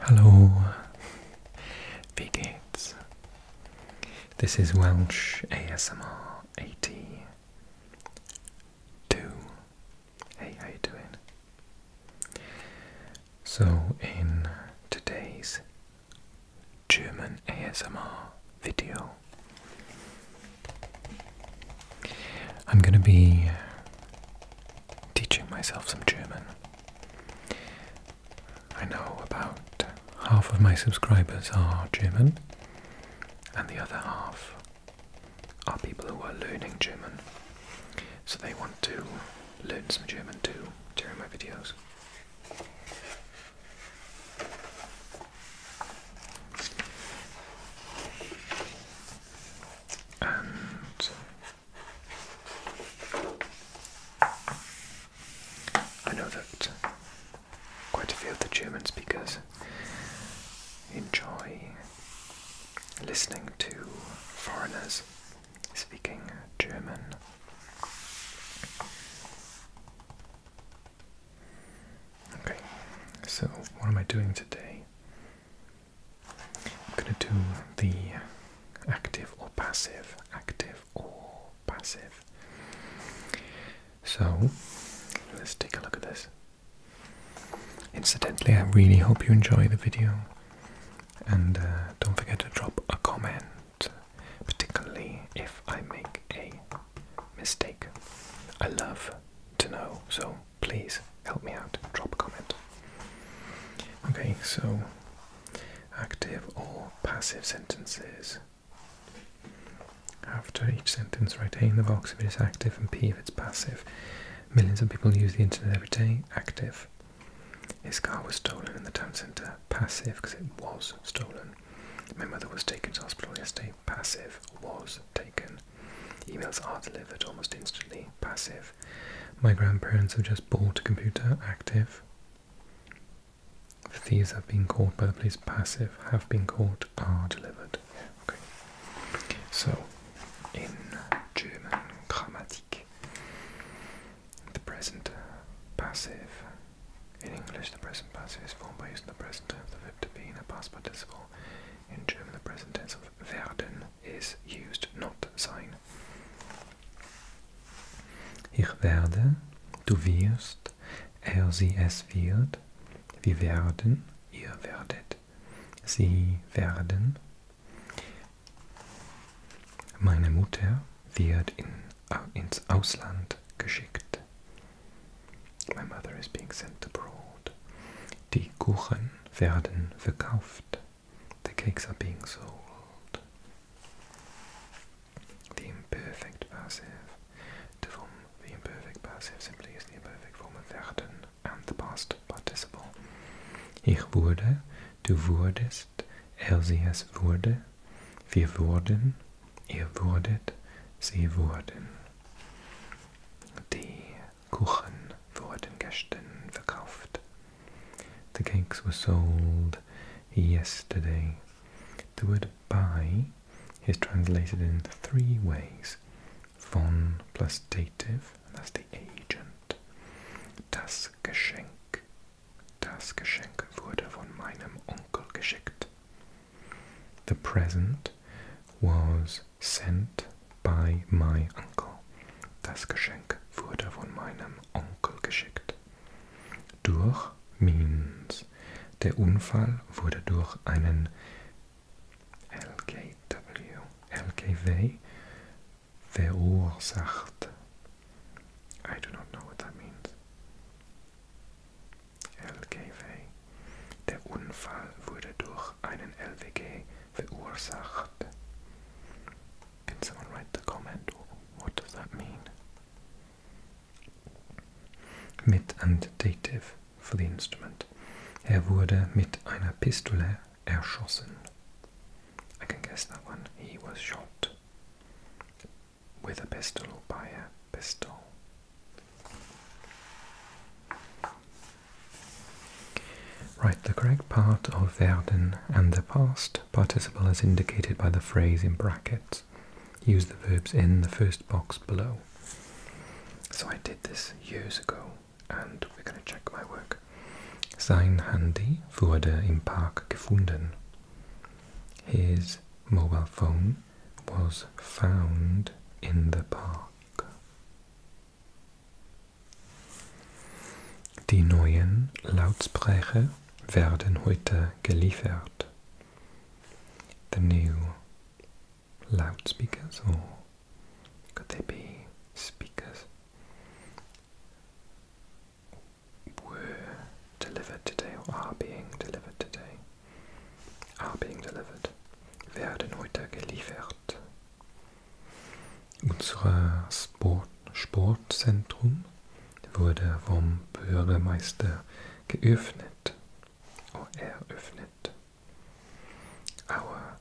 Hello, wie This is Welsh ASMR 82. Hey, how you doing? So in today's German ASMR video, I'm going to be teaching myself some German. I know about half of my subscribers are German, and the other half are people who are learning German. So they want to learn some German too during my videos and I know that quite a few of the German speakers enjoy listening to foreigners speaking German. Okay, so what am I doing today? I'm going to do the active or passive, active or passive. So, let's take a look at this. Incidentally, I really hope you enjoy the video. And uh, don't forget to drop a comment, particularly if I make a mistake. I love to know, so please help me out, drop a comment. Okay, so active or passive sentences. After each sentence, write A in the box if it is active and P if it's passive. Millions of people use the internet every day. Active. His car was stolen in the town centre. Passive, because it was stolen. My mother was taken to hospital yesterday. Passive, was taken. Emails are delivered almost instantly, passive. My grandparents have just bought a computer, active. thieves have been caught by the police, passive. Have been caught, are delivered. Okay. So, in German Grammatik, the present passive. In English, the present passive is formed by using the present tense verb to be in a past participle. In German, the present tense of werden is used not sein. Ich werde, du wirst, er, sie, es wird, wir werden, ihr werdet, sie werden. Meine Mutter wird in, ins Ausland geschickt. My mother is being sent abroad. Die Kuchen werden verkauft. The cakes are being sold. The imperfect passive. The form, the imperfect passive simply is the imperfect form of werden and the past participle. Ich wurde, du wurdest, er sie es wurde, wir wurden, ihr wurdet, sie wurden. Die Kuchen wurden gestern verkauft. The cakes were sold yesterday. The word buy is translated in three ways. Von plus dative, that's the agent. Das Geschenk. Das Geschenk wurde von meinem Onkel geschickt. The present was sent by my uncle. Das Geschenk wurde von meinem Onkel geschickt. Durch means. Der Unfall wurde durch einen LKW, LKW verursacht. I do not know what that means. LKW. Der Unfall wurde durch einen LWG verursacht. Can someone write the comment? What does that mean? Mit einem Dative for the instrument. Er wurde mit einer Pistole erschossen. I can guess that one. He was shot with a pistol by a pistol. Write the correct part of werden and the past participle as indicated by the phrase in brackets. Use the verbs in the first box below. So I did this years ago and we're going to check my work. Sein Handy wurde im Park gefunden. His mobile phone was found in the park. Die neuen Lautsprecher werden heute geliefert. The new loudspeakers, or oh, could they be speakers, were delivered today or are being delivered today. Are being delivered. Werden heute geliefert. Sport, unser Sport Sportzentrum wurde vom Bürgermeister geöffnet. Oh, eröffnet. Our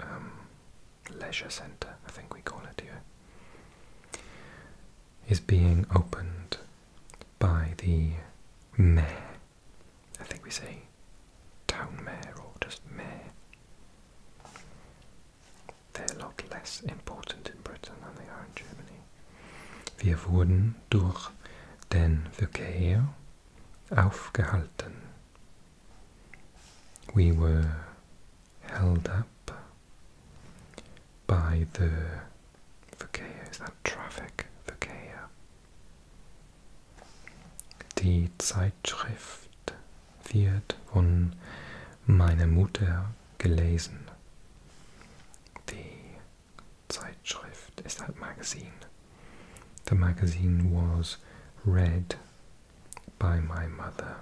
um, leisure center, I think we call it here, is being opened by the mayor I think we say town mayor or just mayor. They're a lot less important in Britain than they are in Germany. Wir wurden durch den Verkehr aufgehalten. We were held up by the Verkehr. Is that traffic? Verkehr. Die Zeitschrift wird von meiner Mutter gelesen. Die Zeitschrift ist ein Magazin. The magazine was read by my mother.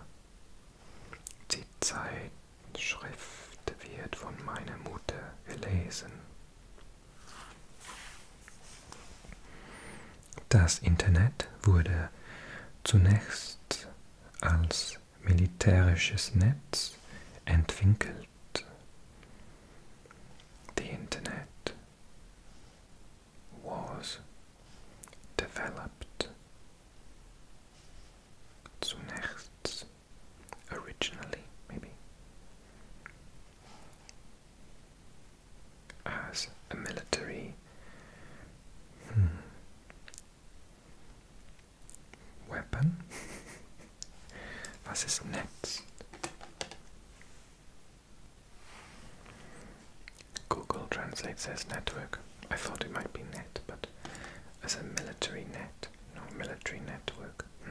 Die Zeitschrift wird von meiner Mutter gelesen. Das Internet wurde zunächst als militärisches Netz entwickelt. The Internet was developed zunächst originally maybe as a military hmm. weapon. Was next? Google Translate says network. I thought it might be net, but as a military net, no military network. Hmm.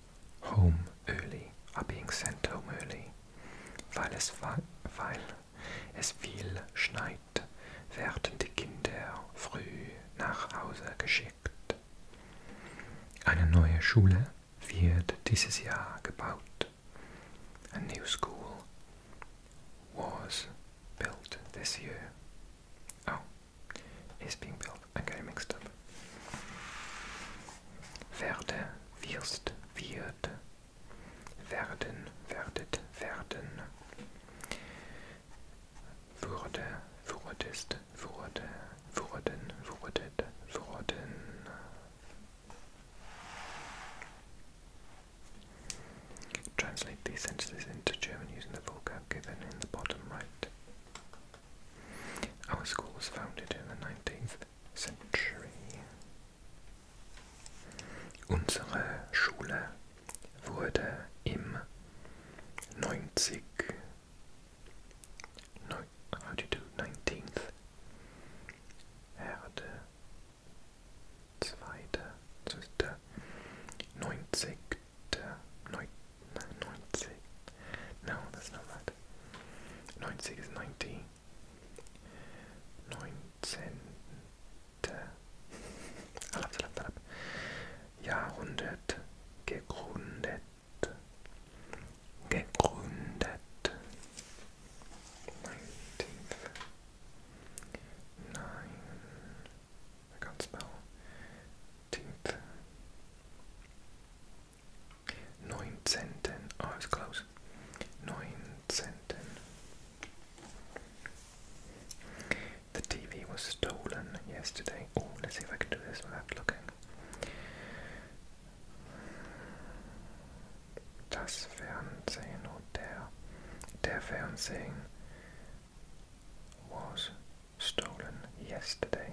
Home Early, Abing Sent Home Early, weil es, weil es viel schneit, werden die Kinder früh nach Hause geschickt. Eine neue Schule wird dieses Jahr gebaut. A new school was built this year. Oh, is being built. I got it mixed up. Werde, wirst, wird. Werden, werdet, werden. Würde, wurdest, wurde, wurden, wurdet, wurden. Translate these sentences into German using the vocab given in the bottom right. Our school was founded in the 19th Century. Unsere Schule wurde im 90 no, how do you do, 19th Herde zweite, das ist der 90. 90. No, that's not that. 90 is 90. 9 cent. I'll have to look that up. Jahrhundert. Gegründet. Gegründet. 9. I can't spell. 19th. Neunzehnten. Oh, it's close. Neunzehnten. The TV was stolen yesterday. Oh, let's see if I can do this without looking. Das Fernsehen or der Fernsehen was stolen yesterday.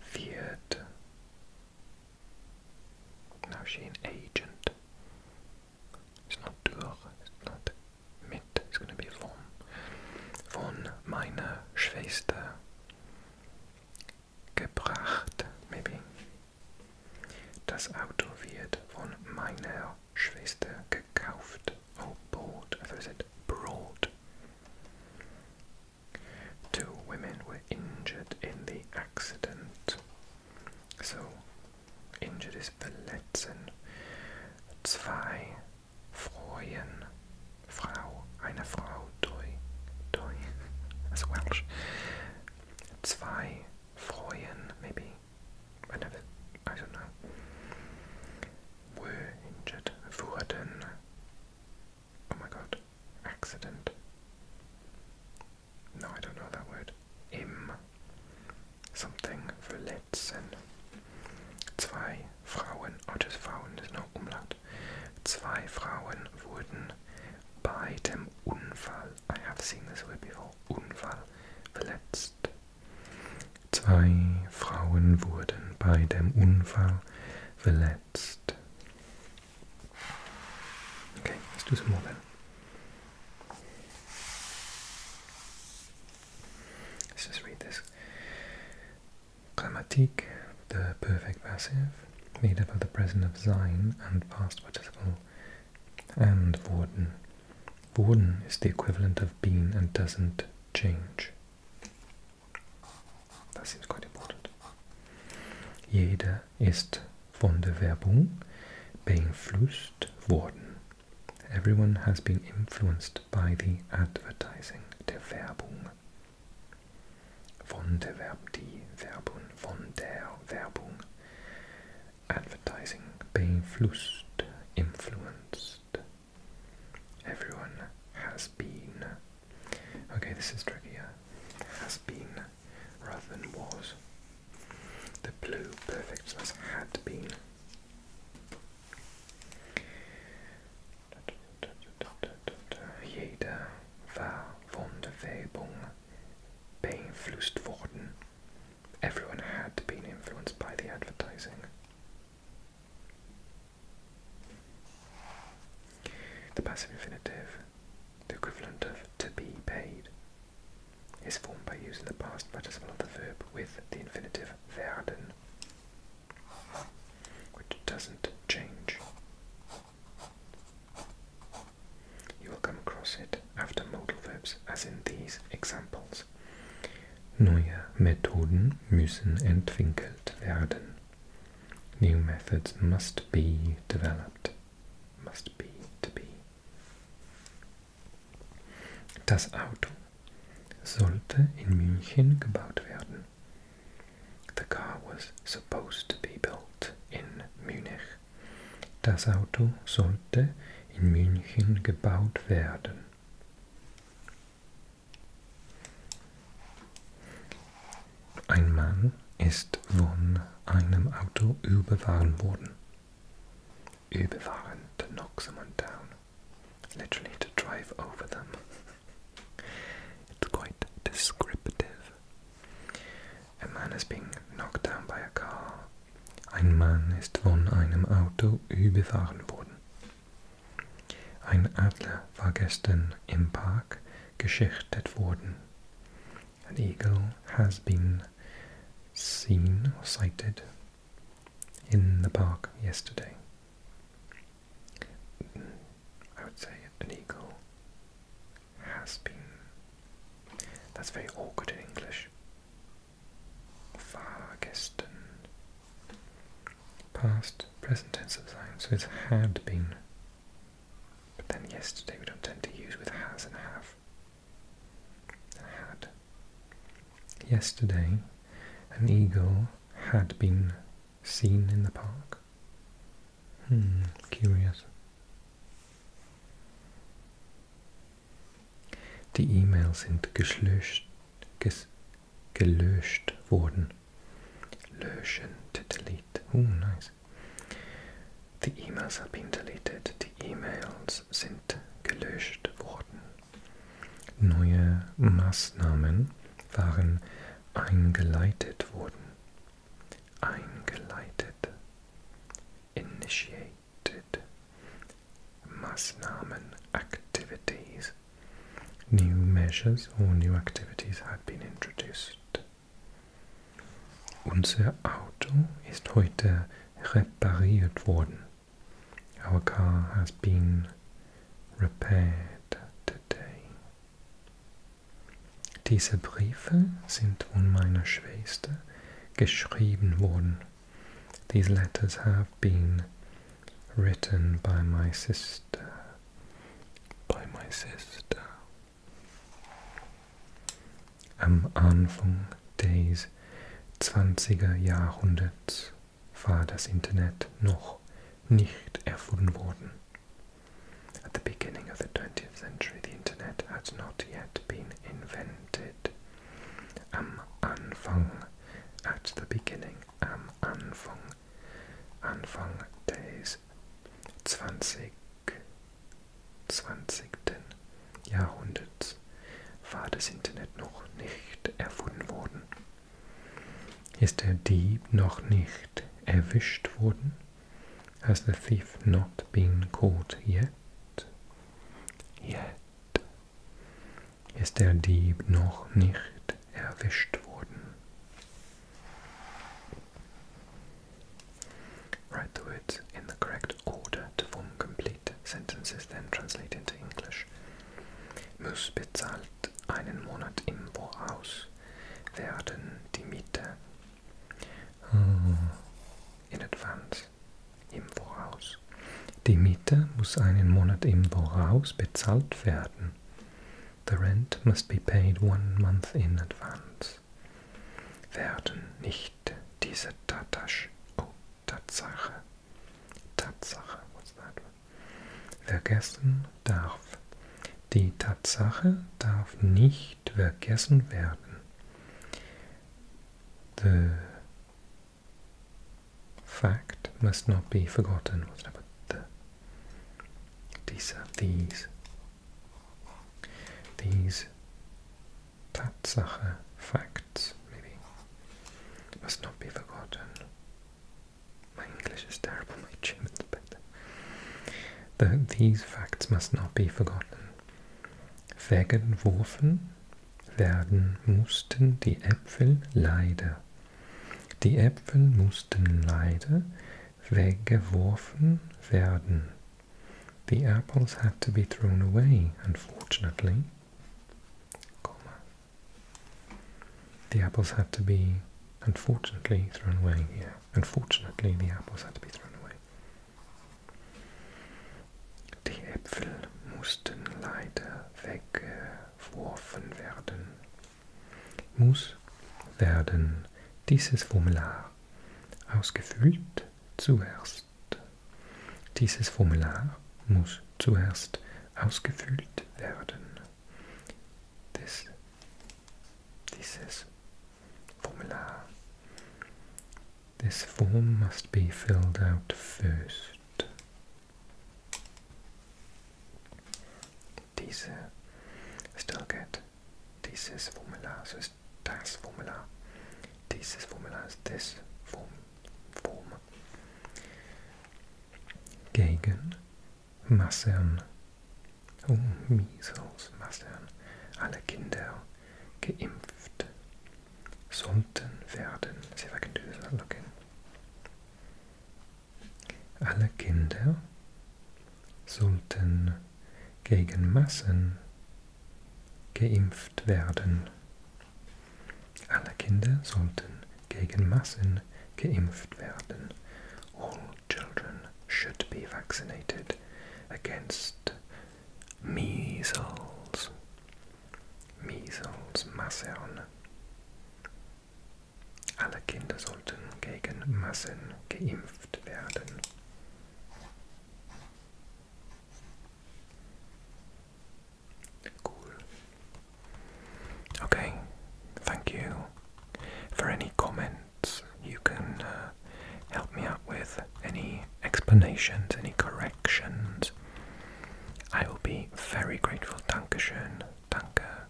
Feared. Now is she an agent? It's not durch, it's not mit, it's gonna be von. Von meiner Schwester gebracht, maybe. Das Auto wird von meiner Schwester gekauft. oh board, I thought I said Two women were injured in the accident. So injured is verletzen. Zwei Freuen, Frau, eine Frau, doi, doi, that's Welsh. Zwei Freuen, maybe, I never, I don't know were injured who an oh my god accident. No, I don't know that word. Im something verletzen. Zwei Frauen, oh just there's no Umlaut. Zwei Frauen wurden bei dem Unfall, I have seen this word before, Unfall verletzt. Zwei Frauen wurden bei dem Unfall verletzt. let's do some more then. Let's just read this. Grammatik, the perfect passive, made up of the present of sein and past participle and wurden. Wurden is the equivalent of been and doesn't change. Das ist quite important. Jeder ist von der Werbung beeinflusst worden. Everyone has been influenced by the advertising, der Werbung. Von der Werbung, die Werbung, von der Werbung. Advertising, beeinflusst, influenced, Everyone has been. Okay, this is trickier. Has been rather than was. The blue perfect has had been. Jeder war von der Werbung beeinflusst worden. Everyone had been influenced by the advertising. The passive infinitive, the equivalent of to be paid, is formed by using the past participle of the verb with the infinitive werden, which doesn't change. You will come across it after modal verbs, as in these examples. muss. Neue Methoden müssen entwickelt werden. New methods must be developed. Must be to be. Das Auto sollte in München gebaut werden. The car was supposed to be built in Munich. Das Auto sollte in München gebaut werden. Ein Mann ist von einem Auto überfahren worden. Überfahren, to knock someone down. Literally to drive over them. It's quite descriptive. A man is being knocked down by a car. Ein Mann ist von einem Auto überfahren worden. An eagle has been seen or sighted in the park yesterday. I would say an eagle has been. That's very awkward in English. War gestern past present tense of time. so it's had been. But then yesterday we don't tend to use with has and have. had. Yesterday, an eagle had been seen in the park. Hmm, curious. Die E-Mail sind geschlöscht, gelöscht wurden. Löschen, delete. Oh, uh, nice. Die E-Mails have been deleted. Die E-Mails sind gelöscht worden. Neue Maßnahmen waren eingeleitet worden. Eingeleitet. Initiated. Maßnahmen, activities. New measures or new activities have been introduced. Unser Auto ist heute repariert worden. Our car has been repaired today. Diese Briefe sind von meiner Schwester geschrieben worden. These letters have been written by my sister. By my sister. Am Anfang des 20er Jahrhunderts war das Internet noch nicht erfunden worden. At the beginning of the 20th century, the Internet had not yet been invented. Am Anfang, at the beginning. am Anfang, Anfang des 20. 20. Jahrhunderts war das Internet noch nicht erfunden worden. Ist der Dieb noch nicht erwischt worden? Has the thief not been caught yet? Yet ist der Dieb noch nicht erwischt worden. Write the words in the correct order to form complete sentences, then translate into English. Muss bezahlt einen Monat im Voraus werden die Miete. Oh. In advance im Voraus. Die Miete muss einen Monat im Voraus bezahlt werden. The rent must be paid one month in advance. Werden nicht diese Tatasch, oh, Tatsache, Tatsache, what's that? Vergessen darf. Die Tatsache darf nicht vergessen werden. The fact must not be forgotten. these these these facts must not be forgotten. My English is terrible, my German's better. these facts must not be forgotten. Vergeworfen werden mussten die Äpfel leider. Die Äpfel mussten leider weggeworfen werden. The apples had to be thrown away, unfortunately. The apples had to be, unfortunately, thrown away. Yeah, unfortunately, the apples had to be thrown away. Die Äpfel mussten leider weggeworfen werden. Muss werden dieses Formular ausgefüllt zuerst. Dieses Formular muss zuerst ausgefüllt werden. Das, dieses Formular. This form must be filled out first. Diese Stilget, dieses Formular, so also ist das Formular. Dieses Formular ist das Form. Form. Gegen Massen. Um Measles, Massen. Alle Kinder geimpft sollten werden. Sie wegen dieser Login. Alle Kinder sollten gegen Massen geimpft werden. Alle Kinder sollten gegen Massen geimpft werden. All children should be vaccinated against measles, Measles, mumps. Alle Kinder sollten gegen Masern geimpft werden. Cool. Okay, thank you. For any comments, you can uh, help me out with any explanations, any corrections, I will be very grateful. Dankeschön, danke.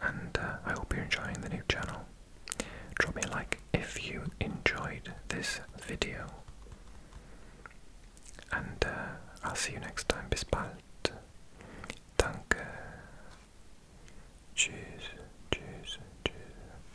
And uh, I hope you're enjoying the new channel. Drop me a like if you enjoyed this video. And uh, I'll see you next time. Bis bald. Danke. Tschüss. Tschüss. Tschüss.